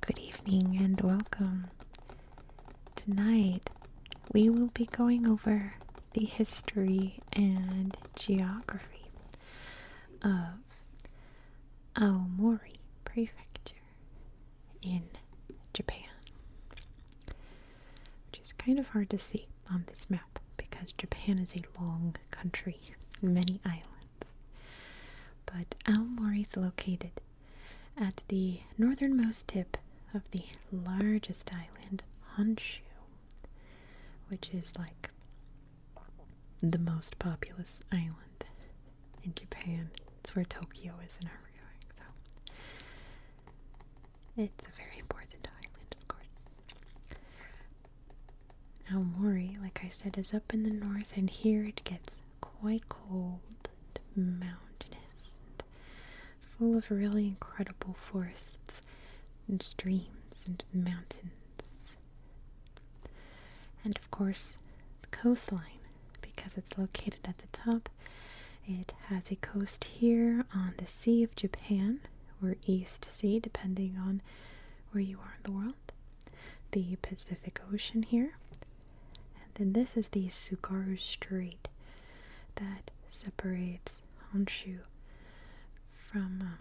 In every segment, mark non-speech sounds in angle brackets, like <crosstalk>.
Good evening and welcome. Tonight we will be going over the history and geography of Aomori Prefecture in Japan, which is kind of hard to see on this map because Japan is a long country, many islands. But Aomori is located at the northernmost tip of the largest island, Honshu, which is like the most populous island in Japan. It's where Tokyo is in our going, so it's a very important island, of course. Aomori, like I said, is up in the north, and here it gets quite cold and mountainous full of really incredible forests and streams and mountains. And of course, the coastline, because it's located at the top. It has a coast here on the Sea of Japan, or East Sea, depending on where you are in the world. The Pacific Ocean here, and then this is the Sugaru Strait that separates Honshu from um,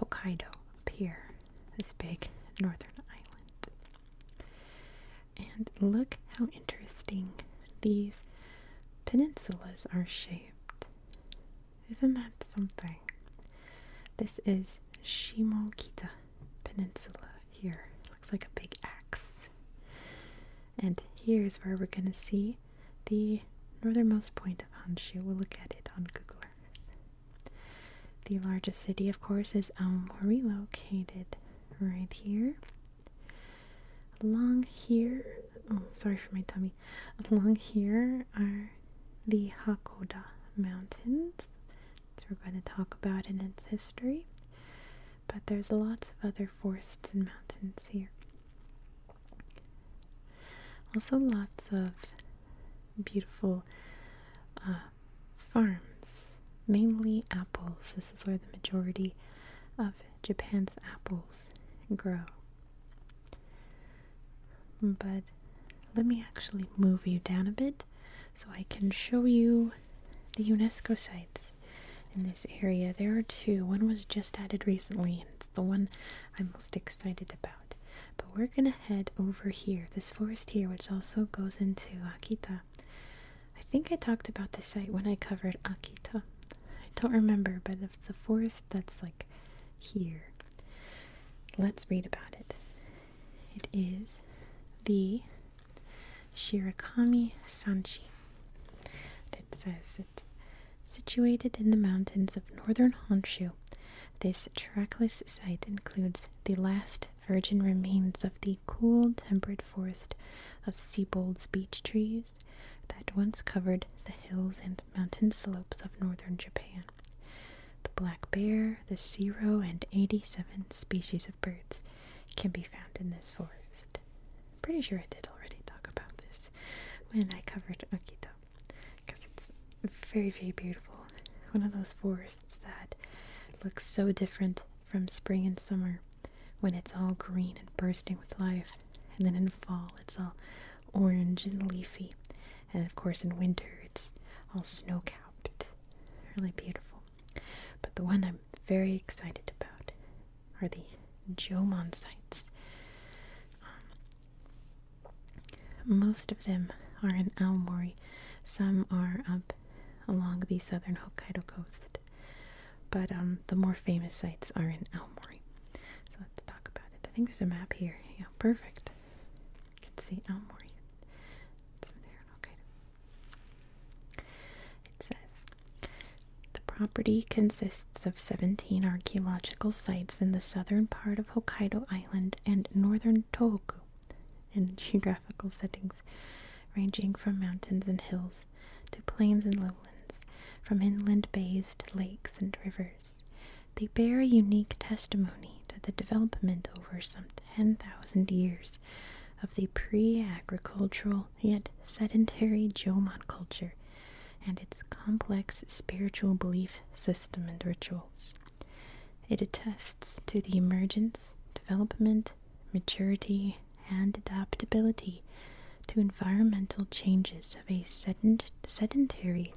Hokkaido up here, this big northern island. And look how interesting these peninsulas are shaped. Isn't that something? This is Shimokita peninsula here. Looks like a big X, And here's where we're going to see the northernmost point of Honshu. We'll look at it on Google Earth. The largest city, of course, is Aomori, located right here. Along here, oh, sorry for my tummy. Along here are the Hakoda Mountains, we're going to talk about in its history. But there's lots of other forests and mountains here. Also lots of beautiful uh, farms, mainly apples. This is where the majority of Japan's apples grow. But let me actually move you down a bit so I can show you the UNESCO sites in this area. There are two. One was just added recently, and it's the one I'm most excited about. But we're gonna head over here, this forest here, which also goes into Akita. I think I talked about the site when I covered Akita. I don't remember, but it's a forest that's like here. Let's read about it. It is the Shirakami Sanchi. It says it's situated in the mountains of northern Honshu. This trackless site includes the last virgin remains of the cool, temperate forest of Siebold's beech trees that once covered the hills and mountain slopes of northern Japan. The black bear the zero and 87 species of birds can be found in this forest. Pretty sure I did already talk about this when I covered Akito because it's very, very beautiful. One of those forests that looks so different from spring and summer when it's all green and bursting with life, and then in fall it's all orange and leafy, and of course in winter it's all snow capped. Really beautiful. But the one I'm very excited about are the Jomon sites. Um, most of them are in Aomori. Some are up along the southern Hokkaido coast. But um, the more famous sites are in Aomori. So let's talk about it. I think there's a map here. Yeah, perfect can see Elmore. Oh, it's there, okay. It says the property consists of 17 archaeological sites in the southern part of Hokkaido Island and northern Tohoku in <laughs> geographical settings ranging from mountains and hills to plains and lowlands, from inland bays to lakes and rivers. They bear a unique testimony to the development over some 10,000 years of the pre agricultural yet sedentary Jomon culture and its complex spiritual belief system and rituals. It attests to the emergence, development, maturity, and adaptability to environmental changes of a sedentary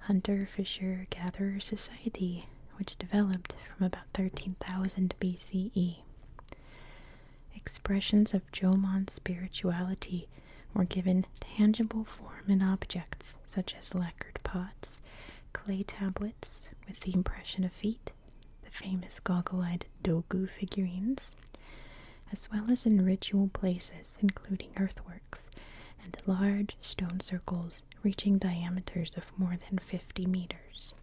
hunter fisher gatherer society, which developed from about 13,000 BCE. Expressions of Jomon spirituality were given tangible form in objects such as lacquered pots, clay tablets with the impression of feet, the famous goggle-eyed dogu figurines, as well as in ritual places including earthworks and large stone circles reaching diameters of more than 50 meters.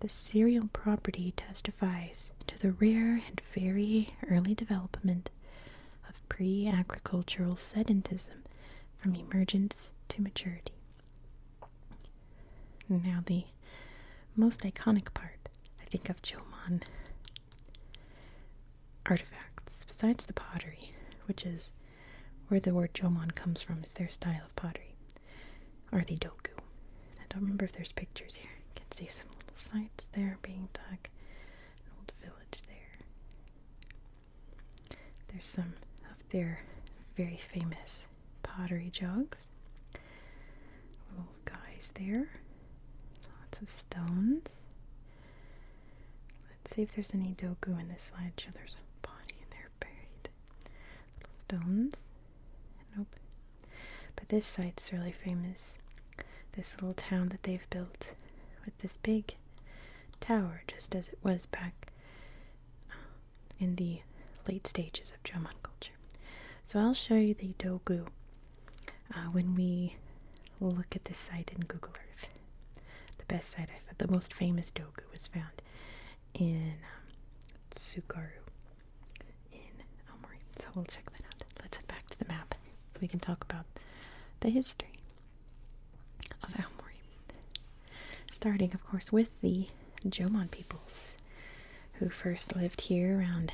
The serial property testifies to the rare and very early development of pre agricultural sedentism from emergence to maturity. Now, the most iconic part, I think, of Jomon artifacts besides the pottery, which is where the word Jomon comes from, is their style of pottery, are I don't remember if there's pictures here. You can see some little sites there being dug, an old village there. There's some of their very famous pottery jugs, little guys there, lots of stones. Let's see if there's any dogu in this slideshow. There's a body there buried. Little stones. Nope. But this site's really famous. This little town that they've built with this big tower, just as it was back uh, in the late stages of Jomon culture. So I'll show you the Dogu uh, when we look at this site in Google Earth. The best site I found, the most famous dogu was found in um, in Omori. So we'll check that out. Let's head back to the map we can talk about the history of Aomori. Starting, of course, with the Jomon peoples who first lived here around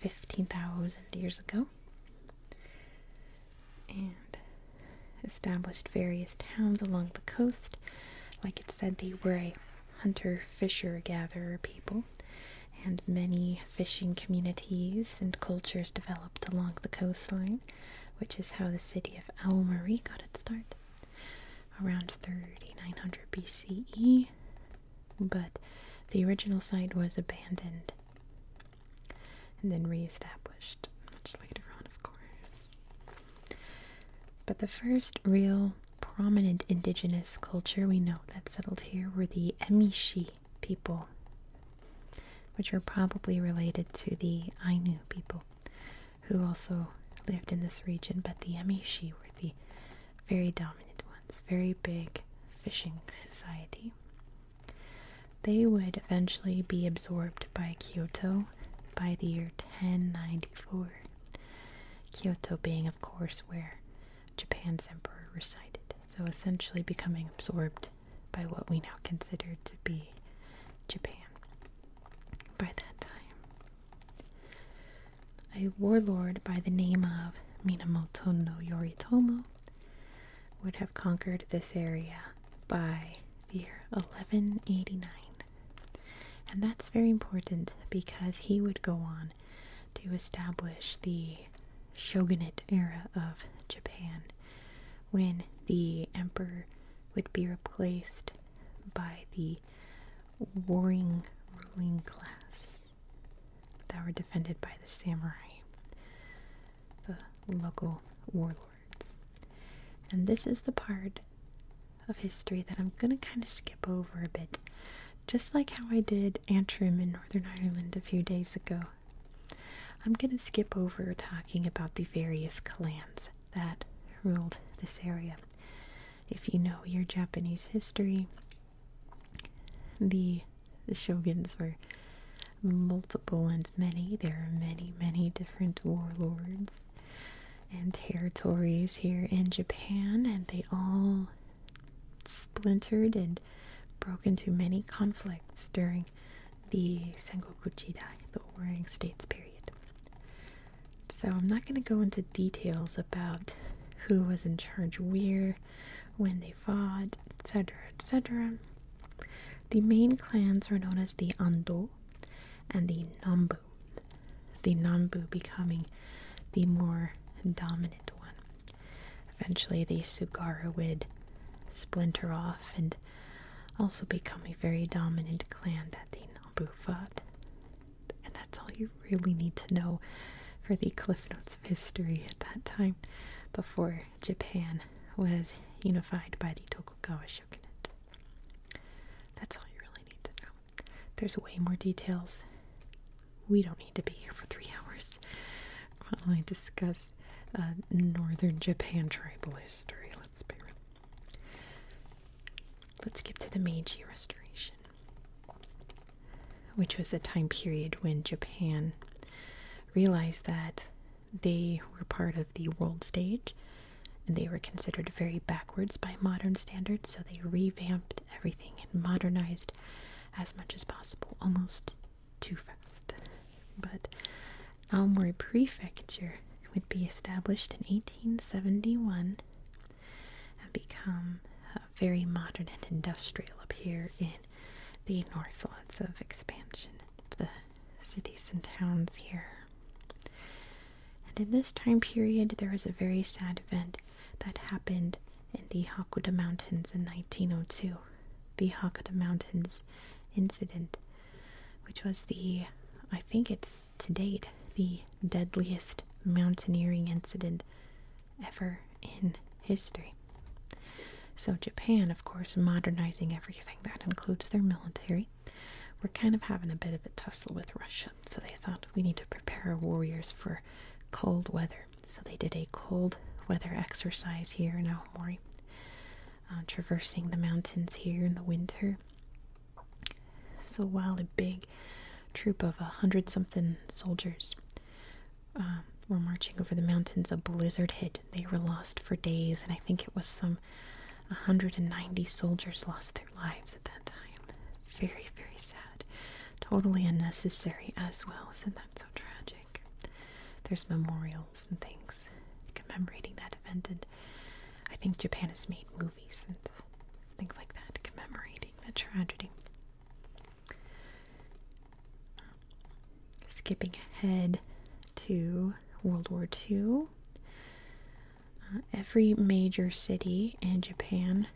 15,000 years ago and established various towns along the coast. Like it said, they were a hunter, fisher, gatherer people, and many fishing communities and cultures developed along the coastline, which is how the city of Almarie got its start around 3900 BCE. But the original site was abandoned and then re-established much later on, of course. But the first real prominent indigenous culture we know that settled here were the Emishi people, which were probably related to the Ainu people, who also lived in this region. But the Emishi were the very dominant ones, very big fishing society. They would eventually be absorbed by Kyoto by the year 1094. Kyoto being, of course, where Japan's emperor resided, so essentially becoming absorbed by what we now consider to be Japan by that time. A warlord by the name of Minamoto no Yoritomo would have conquered this area by the year 1189. And that's very important because he would go on to establish the shogunate era of Japan when the emperor would be replaced by the warring ruling class that were defended by the samurai the local warlords. And this is the part of history that I'm going to kind of skip over a bit, just like how I did Antrim in Northern Ireland a few days ago. I'm going to skip over talking about the various clans that ruled this area. If you know your Japanese history, the the shoguns were multiple and many. There are many, many different warlords and territories here in Japan, and they all splintered and broke into many conflicts during the Sengoku Jidai, the Warring States period. So I'm not going to go into details about who was in charge where when they fought, etc. etc. The main clans were known as the Ando and the Nambu, the Nambu becoming the more dominant one. Eventually, the Sugaru would splinter off and also become a very dominant clan that the Nambu fought. And that's all you really need to know for the Cliff Notes history at that time before Japan was unified by the Tokugawa shogunate. That's all you really need to know. There's way more details. We don't need to be here for three <laughs> hours while I discuss uh, northern Japan tribal history. Let's be real. Let's get to the Meiji Restoration which was the time period when Japan realized that they were part of the world stage and they were considered very backwards by modern standards, so they revamped everything and modernized as much as possible, almost too fast. But Aomori Prefecture would be established in 1871 and become very modern and industrial up here in the north. of expansion the cities and towns here. And in this time period, there was a very sad event that happened in the Hakuda Mountains in 1902. The Hakuda Mountains incident, which was the, I think it's to date, the deadliest mountaineering incident ever in history. So, Japan, of course, modernizing everything, that includes their military. We're kind of having a bit of a tussle with Russia, so they thought we need to prepare our warriors for cold weather. So, they did a cold weather exercise here in Aomori, uh, traversing the mountains here in the winter. So, while a big troop of a hundred something soldiers um, were marching over the mountains, a blizzard hit. They were lost for days, and I think it was some 190 soldiers lost their lives at that time. Very, very sad. Totally unnecessary as well. Isn't that so tragic? There's memorials and things commemorating that event, and I think Japan has made movies and things like that commemorating the tragedy. Skipping ahead to World War II, uh, every major city in Japan,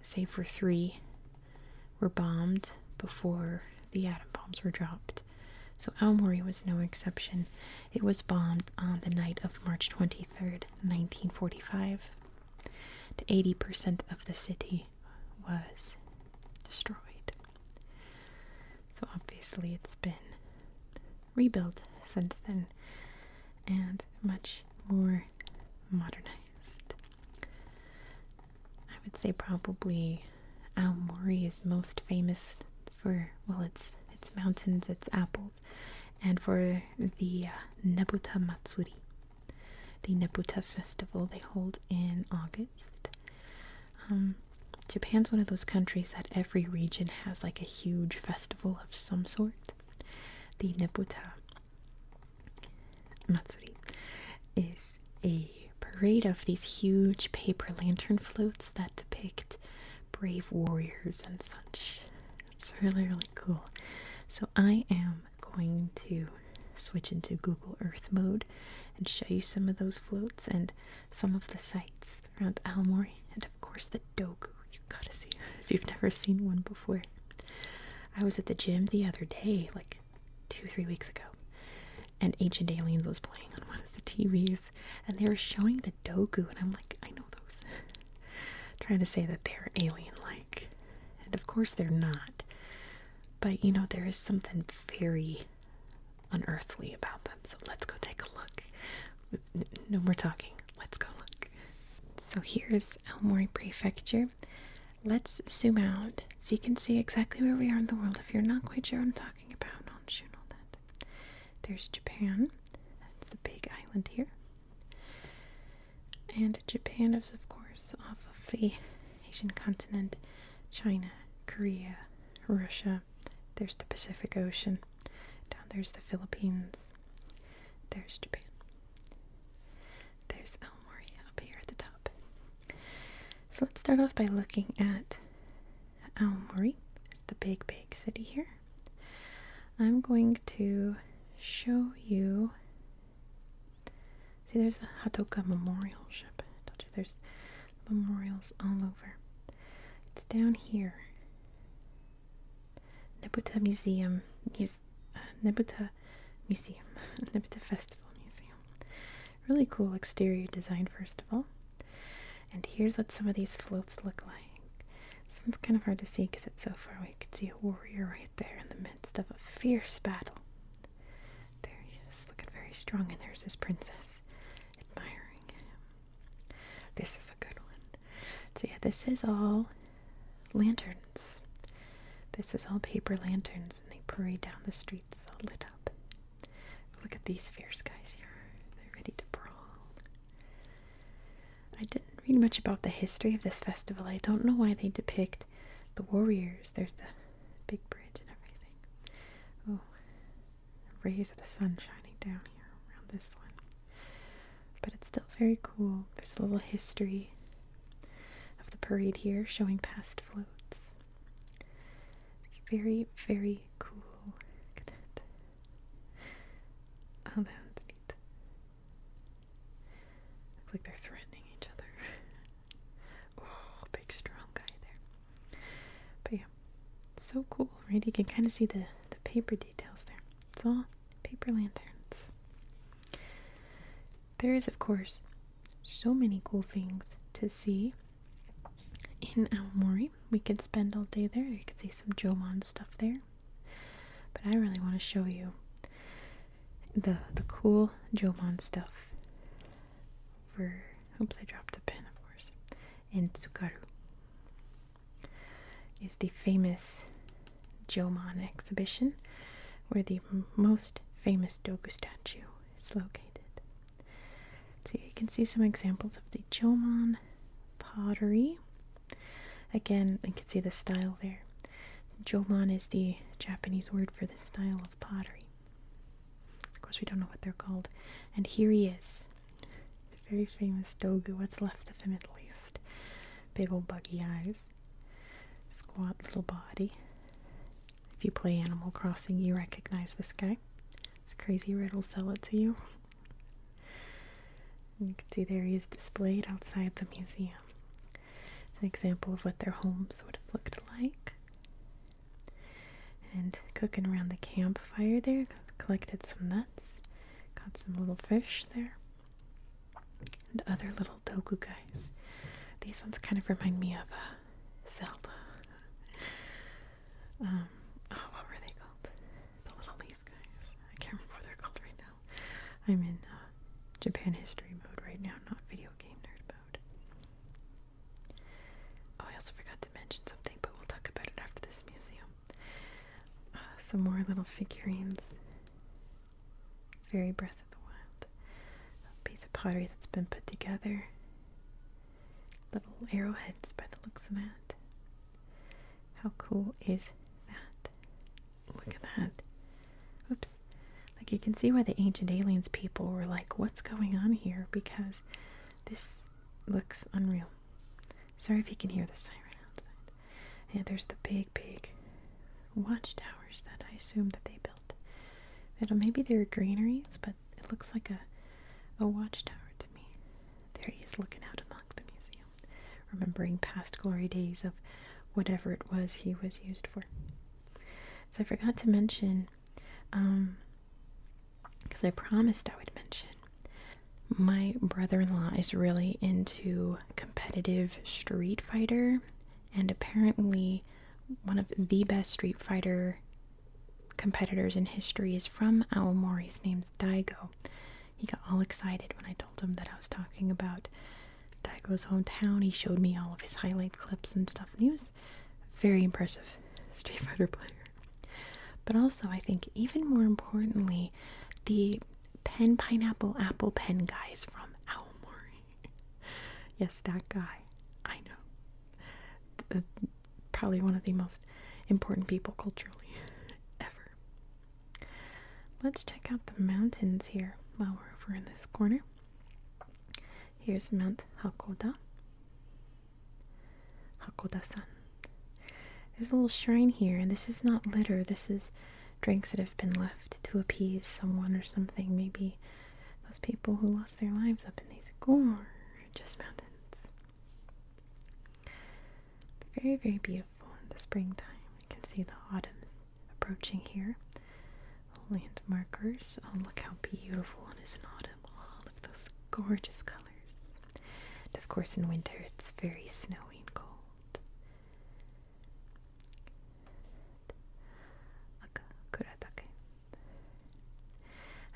save for three, were bombed before the atom bombs were dropped. So Aomori was no exception. It was bombed on the night of March 23rd, 1945. To 80% of the city was destroyed. So obviously, it's been rebuilt since then and much more modernized. I would say probably Aomori is most famous for well, its its mountains, its apples, and for the uh, Nebuta Matsuri the Nebuta festival they hold in August. Um, Japan's one of those countries that every region has like a huge festival of some sort. The Nebuta Matsuri is a parade of these huge paper lantern floats that depict brave warriors and such. It's really, really cool. So I am am going to switch into Google Earth mode and show you some of those floats and some of the sites around Aomori and of course the Dogu. You gotta see if you've never seen one before. I was at the gym the other day, like two three weeks ago, and Ancient Aliens was playing on one of the TVs and they were showing the Dogu and I'm like, I know those. <laughs> Trying to say that they're alien like. And of course they're not. But you know, there is something very unearthly about them. So let's go take a look. No more talking. Let's go look. So here's Elmore Prefecture. Let's zoom out so you can see exactly where we are in the world. If you're not quite sure what I'm talking about, I'll shoot all that. There's Japan. That's the big island here. And Japan is, of course, off of the Asian continent, China, Korea, Russia. There's the Pacific Ocean. Down there's the Philippines. There's Japan. There's El Mori up here at the top. So let's start off by looking at El Mori. There's the big, big city here. I'm going to show you See, there's the Hatoka Memorial Ship. I told you there's memorials all over. It's down here. Nebuta Museum, uh, Nebuta Museum, <laughs> Nebuta Festival Museum. Really cool exterior design, first of all. And here's what some of these floats look like. This kind of hard to see because it's so far away. You could see a warrior right right there in the midst of a fierce battle. There he is, looking very strong, and there's his princess admiring him. This is a good one. So, yeah, this is all lanterns. This is all paper lanterns, and they parade down the streets all lit up. Look at these fierce guys here. They're ready to brawl. I didn't read much about the history of this festival. I don't know why they depict the warriors. There's the big bridge and everything. Oh, rays of the sun shining down here around this one. But it's still very cool. There's a little history of the parade here showing past floats. Very, very cool. Oh, that neat. Looks like they're threatening each other. <laughs> oh, big strong guy there. But yeah, so cool, right? You can kind of see the, the paper details there. It's all paper lanterns. There is, of course, so many cool things to see in Aomori. We could spend all day there. You could see some Jomon stuff there. But I really want to show you the the cool Jomon stuff for oops I dropped a pen of course. In Tsukaru is the famous Jomon exhibition where the most famous Dogu statue is located. So you can see some examples of the Jomon pottery Again, you can see the style there. Jomon is the Japanese word for this style of pottery. Of course, we don't know what they're called. And here he is, the very famous Dogu, what's left of him at least. Big old buggy eyes, squat little body. If you play Animal Crossing, you recognize this guy. It's crazy Red will sell it to you. You can see there he is displayed outside the museum. It's an example of what their homes would have looked like. And cooking around the campfire there, collected some nuts, caught some little fish there, and other little dogu guys. These ones kind of remind me of uh, Zelda. <laughs> Um, oh, what were they called? The little guys. I can't remember what they're called right now. I'm in uh, Japan history mode right now, not video game nerd mode. Oh, I also forgot to mention something, but we'll talk about it after this museum. Uh, some more little figurines. Very Breath of the Wild. piece of pottery that's been put together. Little arrowheads by the looks of that. How cool is that? Look at that. Oops. Like you can see why the ancient aliens people were like, what's going on here? Because this looks unreal. Sorry if you can hear the siren outside. Yeah, there's the big, big watchtowers that I assume that they built. It'll, maybe they're greenerys, but it looks like a, a watchtower to me. There he is looking out of the museum, remembering past glory days of whatever it was he was used for. So I forgot to mention, because um, I promised I would mention, my brother in law is really into competitive Street Fighter, and apparently, one of the best Street Fighter competitors in history is from Aomori. His name's Daigo. He got all excited when I told him that I was talking about Daigo's hometown. He showed me all of his highlight clips and stuff, and he was very impressive Street Fighter player. But also, I think even more importantly, the pen pineapple apple pen guy is from Aomori. <laughs> yes, that guy. I know. probably one of the most important people culturally <laughs> ever. Let's check out the mountains here while we're over in this corner. Here's Mount Hakoda. Hakoda-san. There's a little shrine here, and this is not litter. This is drinks that have been left to appease someone or something. Maybe those people who lost their lives up in these gorgeous mountains. Very, very beautiful in the springtime. You can see the autumn approaching here. Landmarkers. Oh, look how beautiful it is in autumn. Oh, All of those gorgeous colors. of course, in winter, it's very snowy and cold.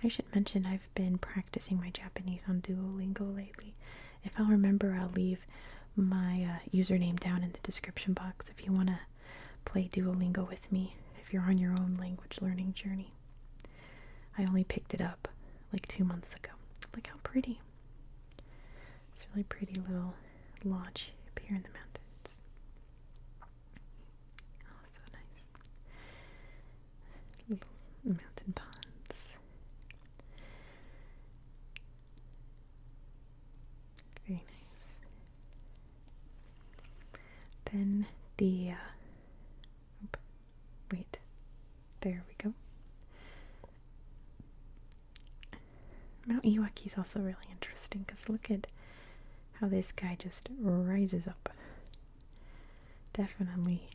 I should mention I've been practicing my Japanese on Duolingo lately. If i remember, I'll leave my uh, username down in the description box if you want to play Duolingo with me if you're on your own language learning journey. I only picked it up like two months ago. Look how pretty. It's really pretty little lodge up here in the mountains. Oh, so nice. Little mountain ponds. Very nice. Then the. Uh, wait. There we go. Mount Iwaki is also really interesting because look at how this guy just rises up. Definitely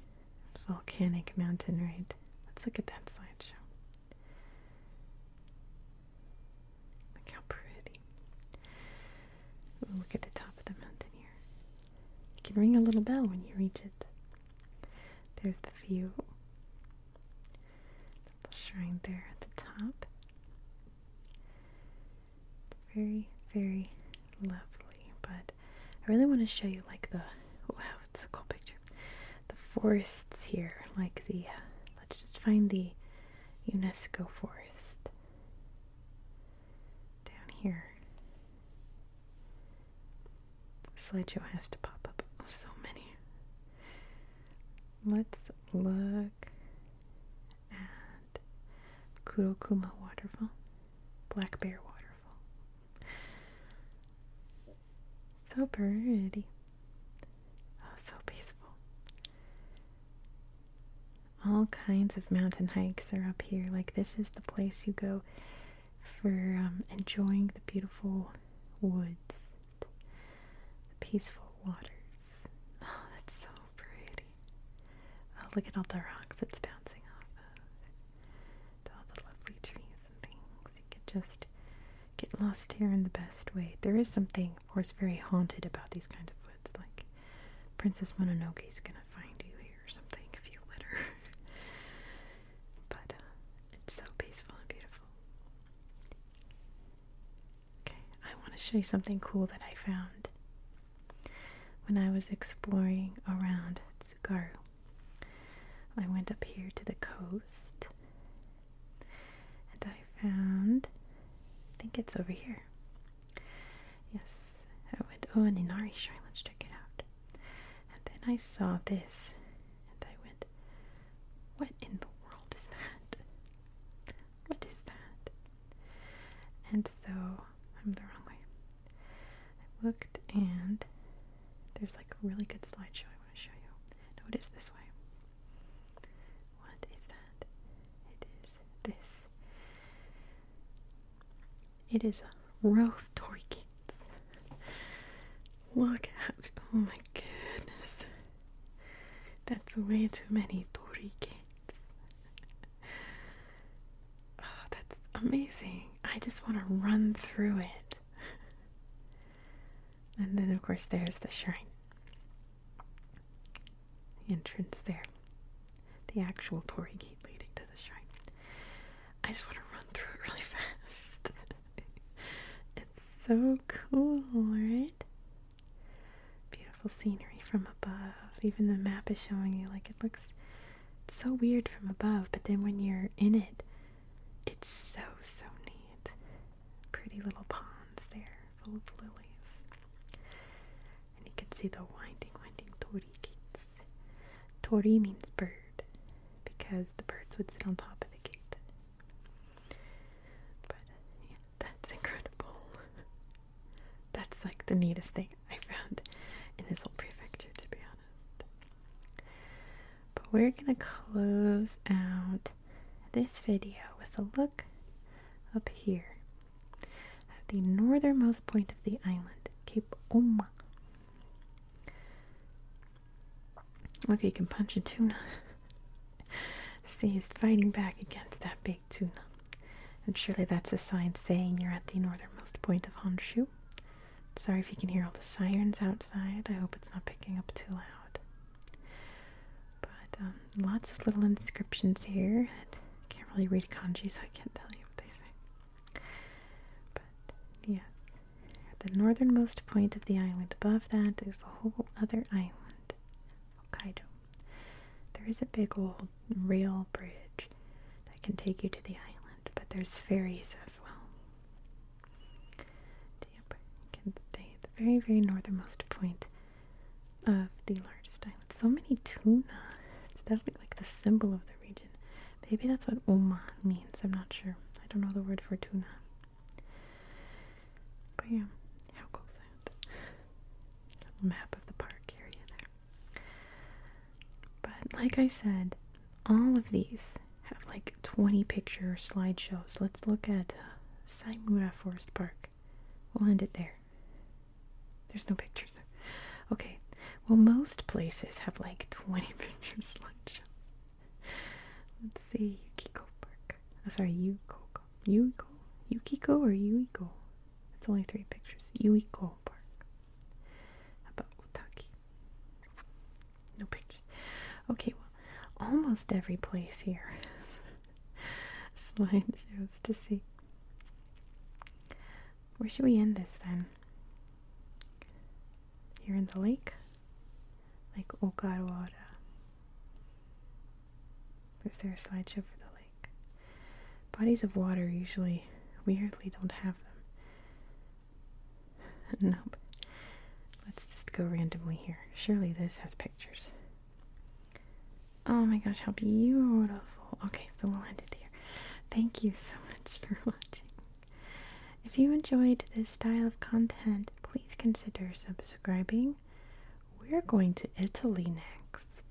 volcanic mountain right? Let's look at that slideshow. Look how pretty. look at the top of the mountain here. You can ring a little bell when you reach it. There's the view. The shrine there at the top. very, very lovely, but I really want to show you like the, <laughs> wow, it's a cool picture. The forests here, like the, uh, let's just find the UNESCO forest down here. Slideshow has to pop up. Oh, so many. Let's look at Kurokumo Waterfall, Black Bear Waterfall. So pretty. Oh, so peaceful. All kinds of mountain hikes are up here. Like, this is the place you go for um, enjoying the beautiful woods, the peaceful waters. Oh, that's so pretty. Oh, look at all the rocks it's bouncing off of all the lovely trees and things. You could just get lost here in the best way. There is something, of course, very haunted about these kinds of woods. Like Princess Mononoke is gonna find you here or something if you let her. <laughs> but uh, it's so peaceful and beautiful. Okay, I want to show you something cool that I found when I was exploring around Tsugaru. I went up here to the coast and I found, I think it's over here. Yes, I went, oh, and Inari shrine, let's check it out. And then I saw this and I went, what in the world is that? What is that? And so I'm the wrong way. looked and there's like a really good slideshow I want to show you. No, it is this way. What is that? It is this. It is a row of Tory kids. Look at oh my goodness. That's way too many Tory kids. <laughs> Oh, that's amazing. I just want to run through it. And then, of course, there's the shrine. The entrance there. The actual Tory gate leading to the shrine. I just want to run through it really <laughs> fast. it's so cool, right? Beautiful scenery from above. Even the map is showing you, like, it looks it's so weird from above, but then when you're in it, it's so, so neat. Pretty little ponds there full of lilies. And you can see the winding, winding tori gates. Tori means bird because the birds would sit on top of the gate. But yeah, that's <laughs> incredible. That's like the neatest thing I found in this whole prefecture, to be honest. But we're gonna close out this video with a look up here at the northernmost point of the island, Cape Oma. Look, you can punch a tuna. <laughs> See, he's fighting back against that big tuna. And surely that's a sign saying you're at the northernmost point of Honshu. Sorry if you can hear all the sirens outside. I hope it's not picking up too loud. But um, lots of little inscriptions here. I can't really read kanji, so I can't tell you what they say. But yeah, the northernmost point of the island above that is a whole other island, Hokkaido. There is a big old rail bridge that can take you to the island, but there's ferries as well. Yep, you can stay at the very, very northernmost point of the largest island. So many tuna. It's definitely like the symbol of the region. Maybe that's what Oman means. I'm not sure. I don't know the word for tuna. But yeah, how close is that? map of the park area there. But like I said, all of these have like 20 picture slideshows. Let's look at uh, Saimura Forest Park. We'll end it there. There's no pictures there. Okay, well, most places have like 20 <laughs> picture slideshows. Let's see, Yukiko Park. Oh, sorry, Yukiko, Yuiko? Yukiko or Yuiko? It's only three pictures. Uiko Park. How about Utaki? No pictures. Okay, well, almost every place here has <laughs> slideshows to see. Where should we end this then? Here in the lake? Like Ogarawara. Is there a slideshow for the lake? bodies of water usually weirdly don't have them. <laughs> nope. Let's just go randomly here. Surely this has pictures. Oh my gosh, how beautiful. Okay, so we'll end it there. Thank you so <laughs> much for watching. If you enjoyed this style of content, please consider subscribing. We're going to Italy next.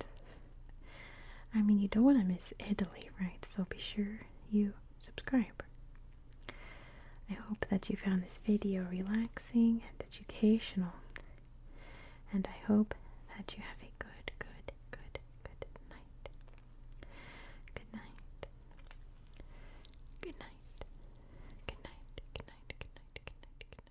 I mean, you don't want to miss Italy, right? So be sure you subscribe. I hope that you found this video relaxing and educational. And I hope that you have a good, good, good, good night. Good night. Good night. Good night. Good night. Good night. Good night. Good night. Good night.